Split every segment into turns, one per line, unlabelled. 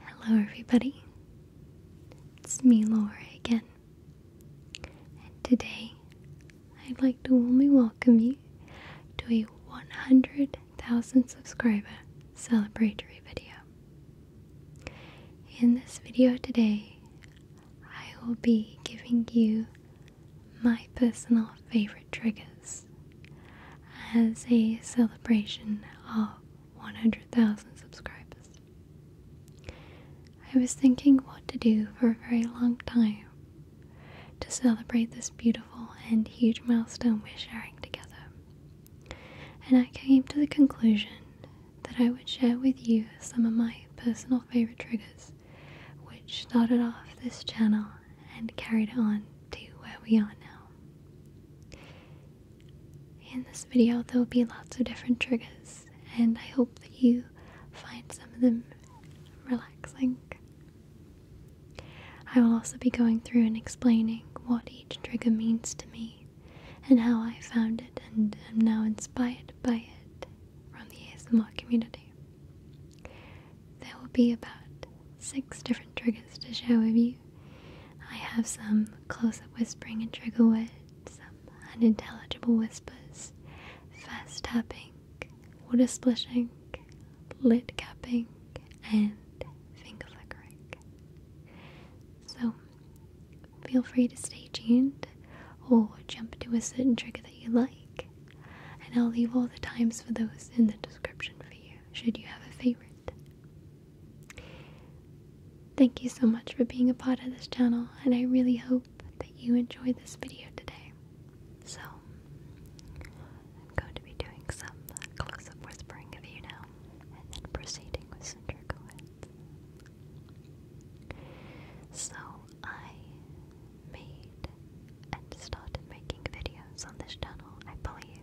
Hello, everybody. It's me, Laura, again. And today, I'd like to warmly welcome you to a 100,000 subscriber celebratory video. In this video today, I will be giving you my personal favorite triggers as a celebration of 100,000 subscribers. I was thinking what to do for a very long time to celebrate this beautiful and huge milestone we're sharing together. And I came to the conclusion that I would share with you some of my personal favorite triggers, which started off this channel and carried on to where we are now. In this video, there will be lots of different triggers, and I hope that you find some of them relaxing. I will also be going through and explaining what each trigger means to me and how I found it and am now inspired by it from the ASMR community. There will be about six different triggers to share with you. I have some close up whispering and trigger words, some unintelligible whispers, fast tapping, water splishing, lid capping, and finger flickering. So feel free to stay tuned or jump to a certain trigger that you like, and I'll leave all the times for those in the description for you should you have a favorite. Thank you so much for being a part of this channel, and I really hope that you enjoyed this video today. So,
I'm going to be doing some close up whispering of you now, and then proceeding with some trickles. So, I made and started making videos on this channel, I believe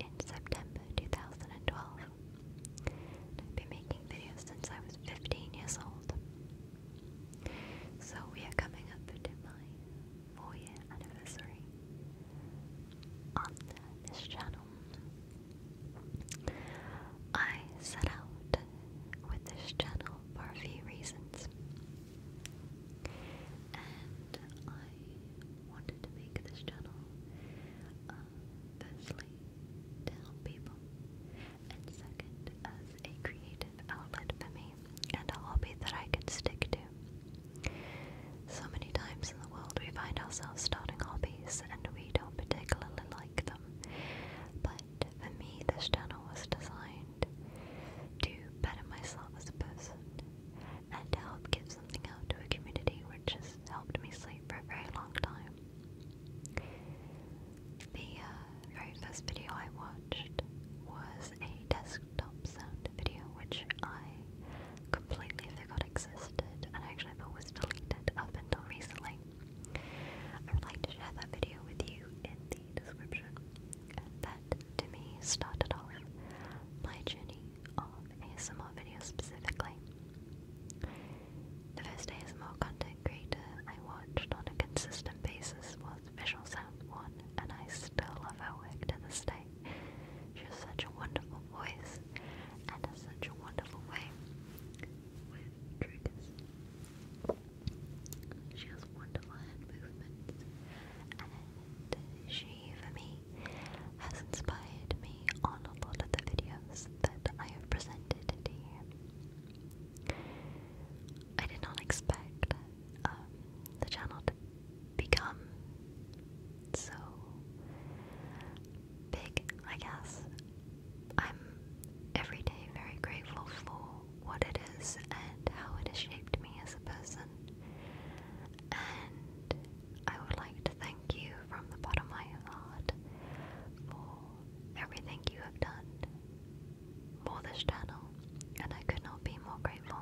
in September 2012. I've been making videos since I was 15 years old. So we are coming up to my four year anniversary on this channel. I set out with this channel for a few reasons, and I wanted to make this channel uh, firstly to help people and second as a creative outlet for me and a hobby that I could stick to. So many times in the world we find ourselves starting hobbies and we don't particularly like them. But for me this channel was designed to better myself as a person and to help give something out to a community which has helped me sleep for a very long time. The uh, very first video I watched was a desktop sound video which I completely forgot existed and actually thought was deleted up until recently. I would like to share that video with you in the description. And that to me started off my journey of ASMR videos specifically. The first ASMR content creator I watched on a consistent basis was Visual Sound One, and I still love her work to this day. She has such a wonderful voice and has such a wonderful way with triggers. She has wonderful hand movements and uh, she for me has inspired me on a lot of the videos that I have presented to I did not expect um, the channel to become so big, I guess. I'm every day very grateful for what it is and how it has shaped me as a person. I would like to thank you from the bottom of my heart for everything you have done for this channel, and I could not be more grateful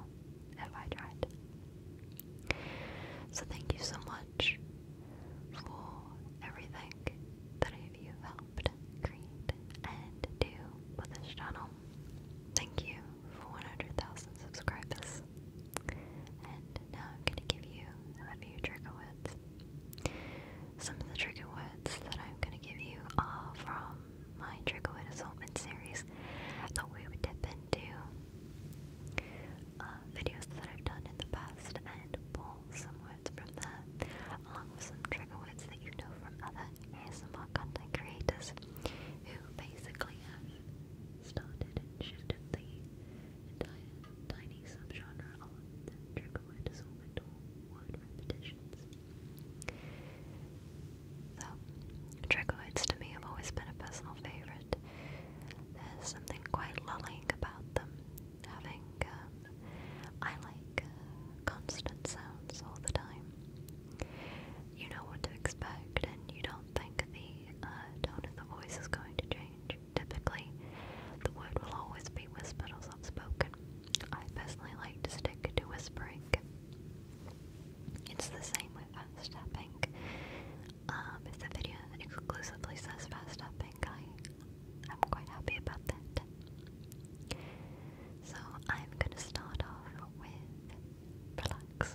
if I tried. So, thank you so much for everything that you have helped create and do for this channel. Thank you for 100,000 subscribers. And now I'm going to give you a few trigger words. Some of the trigger words that I'm going to give you are from my trigger word assortment series. I thought we would dip into uh, videos that I've done in the past and pull some words from there, along with some trigger words that you know from other ASMR content creators who basically have started and shifted the tiny subgenre, of them trigger word repetitions. So, trigger to me have always been a personal favorite. There's something quite lulling about them, having, um, I like uh, constant sounds all the time. You know what to expect, and you don't think the the uh, tone of the voice is going to change. Typically, the word will always be whispered or spoken I personally like to stick to whispering. It's the same with fast tapping. Um, if the video exclusively says fast tapping, I, I'm quite happy about that. So I'm gonna start off with relax.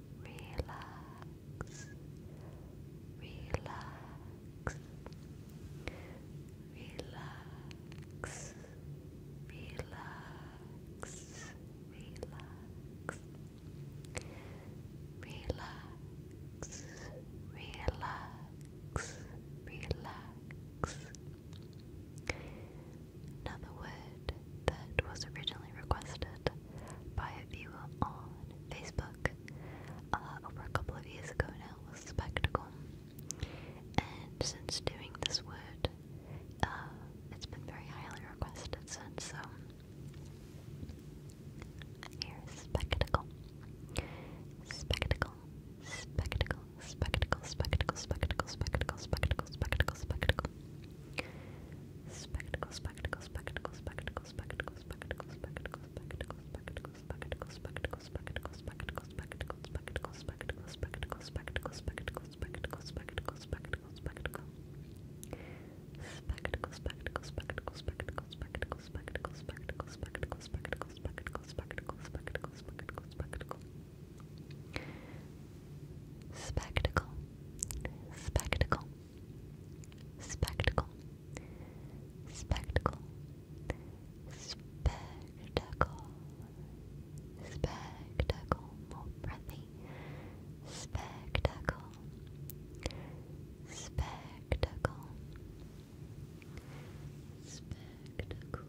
relax, relax, relax, relax, relax. Relax, relax, relax. Another word that was originally requested by a viewer on Facebook uh, over a couple of years ago now was spectacle. And since doing this word, uh, it's been very highly requested since, so here's spectacle. Spectacle, spectacle, spectacle, spectacle, spectacle, spectacle, spectacle, spectacle, spectacle. Spectacle, spectacle, spectacle, spectacle, spectacles, spectacles, spectacles, spectacles, spectacles, spectacles, spectacles, spectacles, spectacles, spectacles, spectacles, spectacles, spectacles, spectacles, spectacles, spectacles, spectacles, spectacles, spectacles, spectacles. Spectacles, spectacles, spectacles, spectacles, spectacles, spectacles, spectacles, spectacles, spectacles, spectacles, spectacles, spectacles, spectacles, spectacle. Spectacle, spectacle, spectacle, spectacle, spectacle, spectacle, more breathy, spectacle, spectacle, spectacle, spectacle.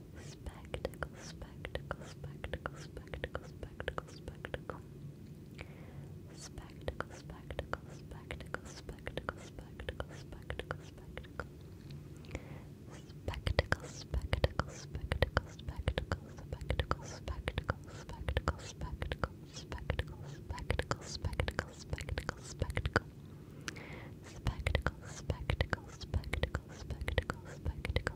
Spectacle, spectacle, spectacle, spectacle, spectacle,
spectacle. Spectacle, spectacle, spectacle, spectacle, spectacle, spectacle, spectacle. Spectacle, spectacle, spectacle, spectacle, spectacle, spectacle, spectacle, spectacle, spectacle, spectacle, spectacle, spectacle, spectacle. Spectacle, spectacle, spectacle, spectacle, spectacle,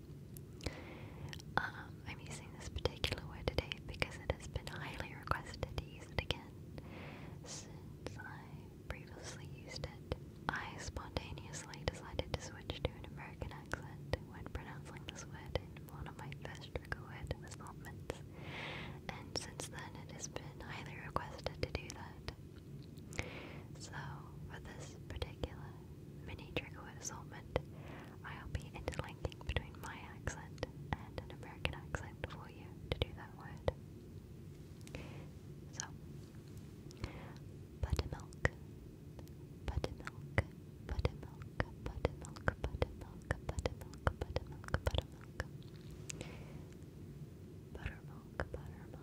Um, I'm using this particular word today because it has been highly requested to use it again since I previously used it. I spontaneously decided to switch to an American accent when pronouncing this word in one of my first record assignments, and since then it has been highly requested to do that. So, for this particular mini trigger assortment. I'll be interlinking between my accent and an American accent for you to do that word. So, buttermilk, buttermilk, buttermilk, buttermilk, buttermilk, buttermilk, buttermilk, buttermilk. Buttermilk, buttermilk,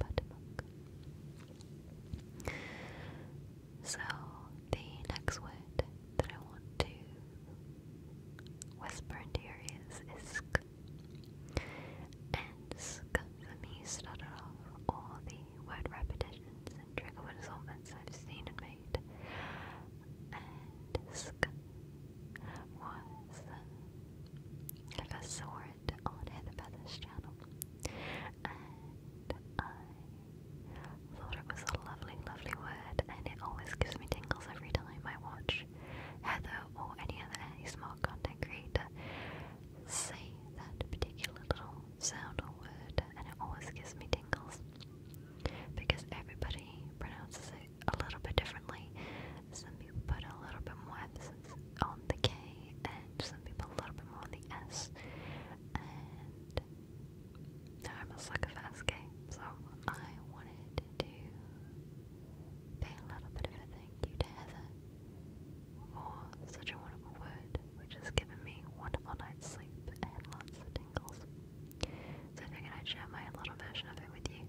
Patamunk. So the next word that I want to whisper into your ears is sk. And sk for me started off all the word repetitions and trigger word I've seen and made. And sk was like a sore on Hannah channel. And I thought it was a lovely, lovely word, and it always gives me tingles every time I watch Heather or any other ASMR content creator say that particular little sound or word, and it always gives me tingles because everybody pronounces it a little bit differently, some people put a little bit more emphasis on the K, and some people a little bit more on the S. And I'm a sucker for SK, so I wanted to pay a little bit of a thank you to Heather for such a wonderful word, which has given
me wonderful night's sleep and lots of tingles. So I figured I'd share my little version of it with you.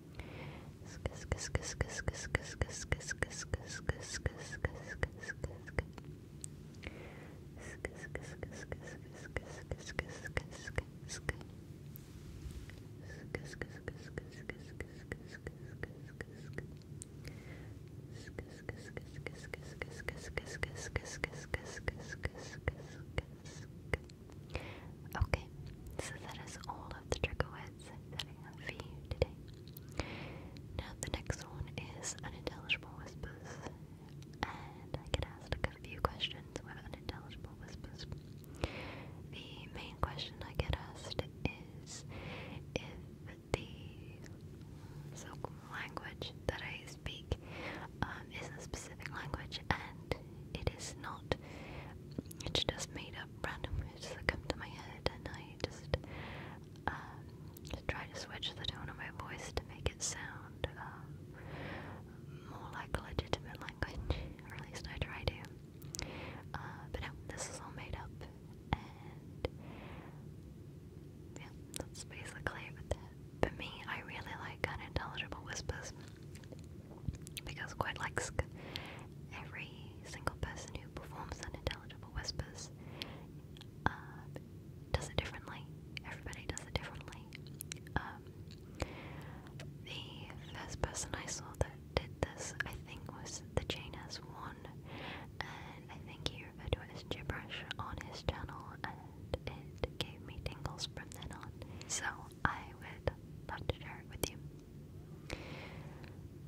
Okay, so that is all of the trigger words that I have for you today.
Now, the next one is unintelligible whispers, and I get asked a few questions with unintelligible whispers. The main question I get asked is if the language that I speak um, is a specific language and it is not, it's just made up random just like come to my head and I just, um, try to switch the tone of my voice to make it sound um, more like legitimate language, or at least I try to. Uh, but no, this is all made up, and yeah, that's basically it with that. me, I really like unintelligible whispers because quite like every single person who performs unintelligible whispers um, does it differently. Everybody does it differently. Um, the first person I saw that did this, I think, was the JNS one, and I think he referred to it gibberish on his channel, and it gave me tingles from then on. So I would love to share it with you.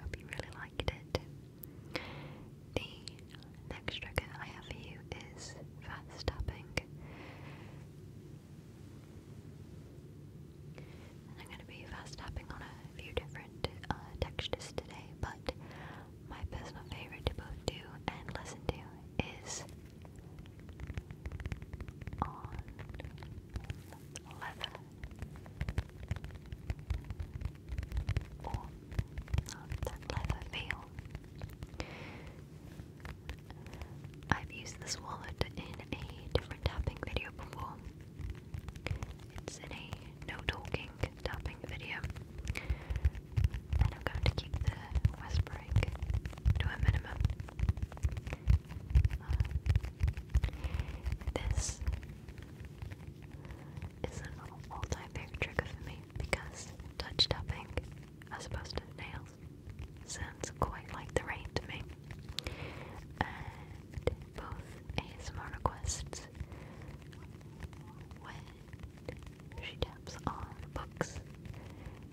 Hope you really liked it. The next trigger I have for you is fast tapping. I'm going to be fast tapping on a few different uh, textures today, but my personal favorite to both do and listen to is on leather or that leather feel. I've used this wallet in a different tapping video before. It's in a no talking tapping video. And I'm going to keep the whispering to a minimum this is an all-time trigger for me because touch tapping, as opposed to nails, sounds quite like the rain to me. both ASMR requests when she taps on books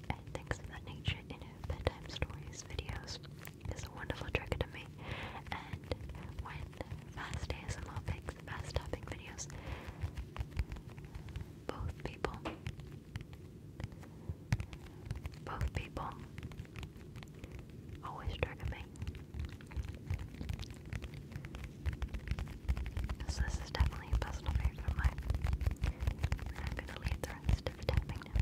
and things of that nature in her bedtime stories videos is a wonderful trick to me. And when fast ASMR picks fast tapping videos, both people, both people always trigger me. So this is definitely a personal favorite of mine. And i to leave the rest of tapping now.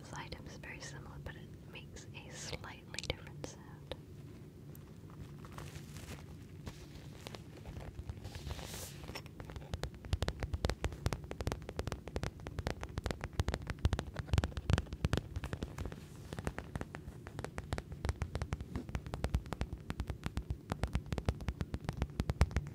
This item is very similar, but it makes a slightly different sound.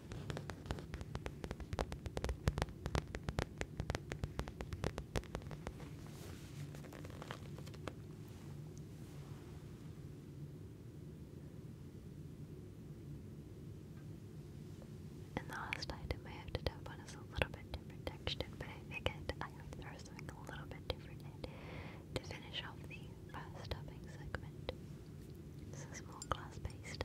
And the last item I have to tap on is a little bit different texture, but I figured I would throw something a little bit different in to finish off the first tapping segment. This is more glass based.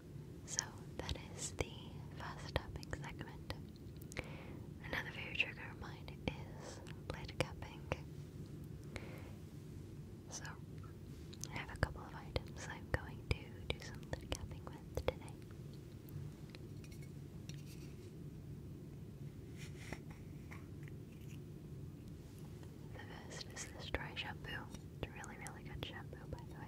So that is the fast tapping segment. Another favorite trigger of mine is blade capping. So I have a couple of items I'm going to do some blade capping with today. The first is this dry shampoo a really, really good shampoo, by the way.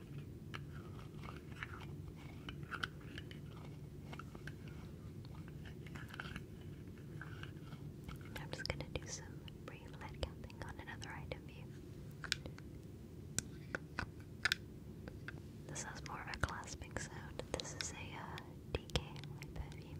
I'm just going to do some brief lead counting on another item view. This has more of a clasping sound. This is a uh, DK perfume.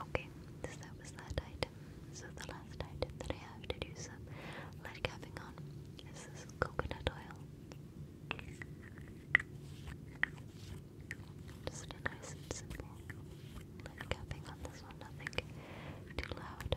Okay, so that was that item. So the last item that I have to do some light capping on is this coconut oil. Just a nice and simple light capping on this one, nothing too loud.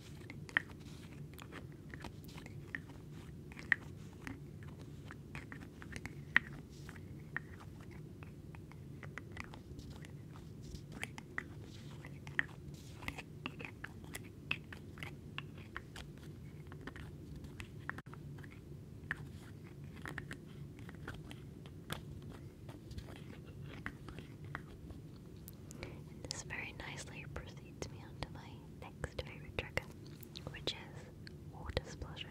And this very nicely precedes me onto my next least favorite trigger, which is water splashing.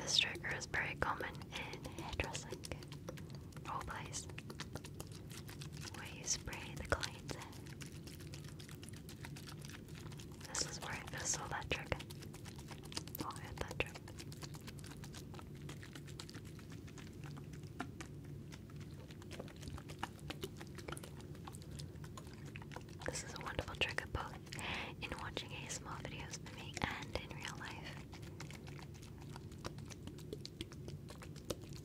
This trigger is very common in hairdressing whole place where you spray the coins This is where it feels so electric. Oh, electric. This is a wonderful trick of both in watching ASMR videos for me and in real life.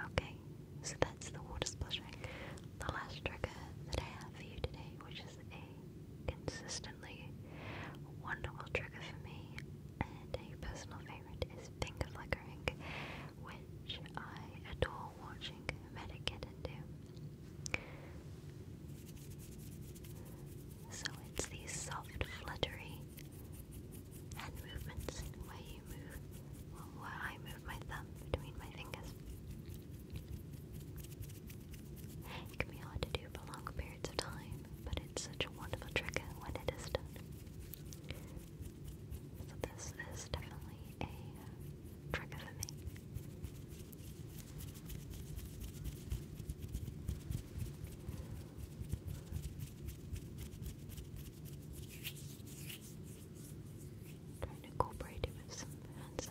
Okay, so that's the water splashing. The last trigger that I have for you today, which is a consistently wonderful trigger for me, and a personal favorite is finger flickering, which I adore watching Medic get into. So it's these soft, fluttery hand movements where you move, where I move my thumb between my fingers. It can be hard to do for long periods of time, but it's such a wonderful trick when it is done. So this is definitely a trigger for me. Trying to incorporate it with some hand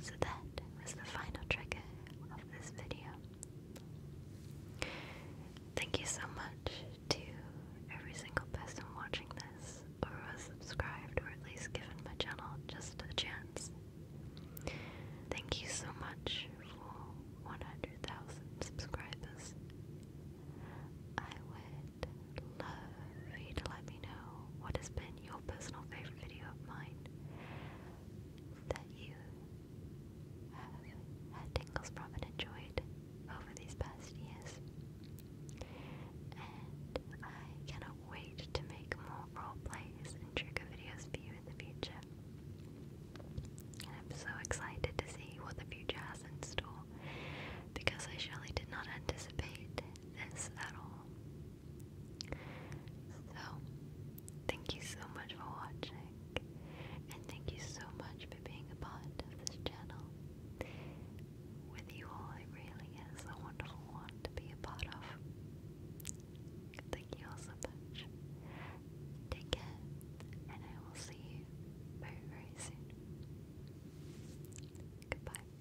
So that was the final trigger of this video. Thank you so much to every single person watching this, or who subscribed, or at least given my channel just a chance. Thank you so much for 100,000 subscribers. I would love for you to let me know what has been your personal favorite video of mine that you had tingles from and enjoyed over these past years. And I cannot wait to make more role plays and trigger videos for you in the future. I'm so excited to see what the future has in store because I surely did not anticipate this at all. So, thank you so much for watching, and thank you so much for being a part of this channel. With you all, it really is a wonderful one to be a part of. Thank you so much. Take care, and I will see you very, very soon. Goodbye.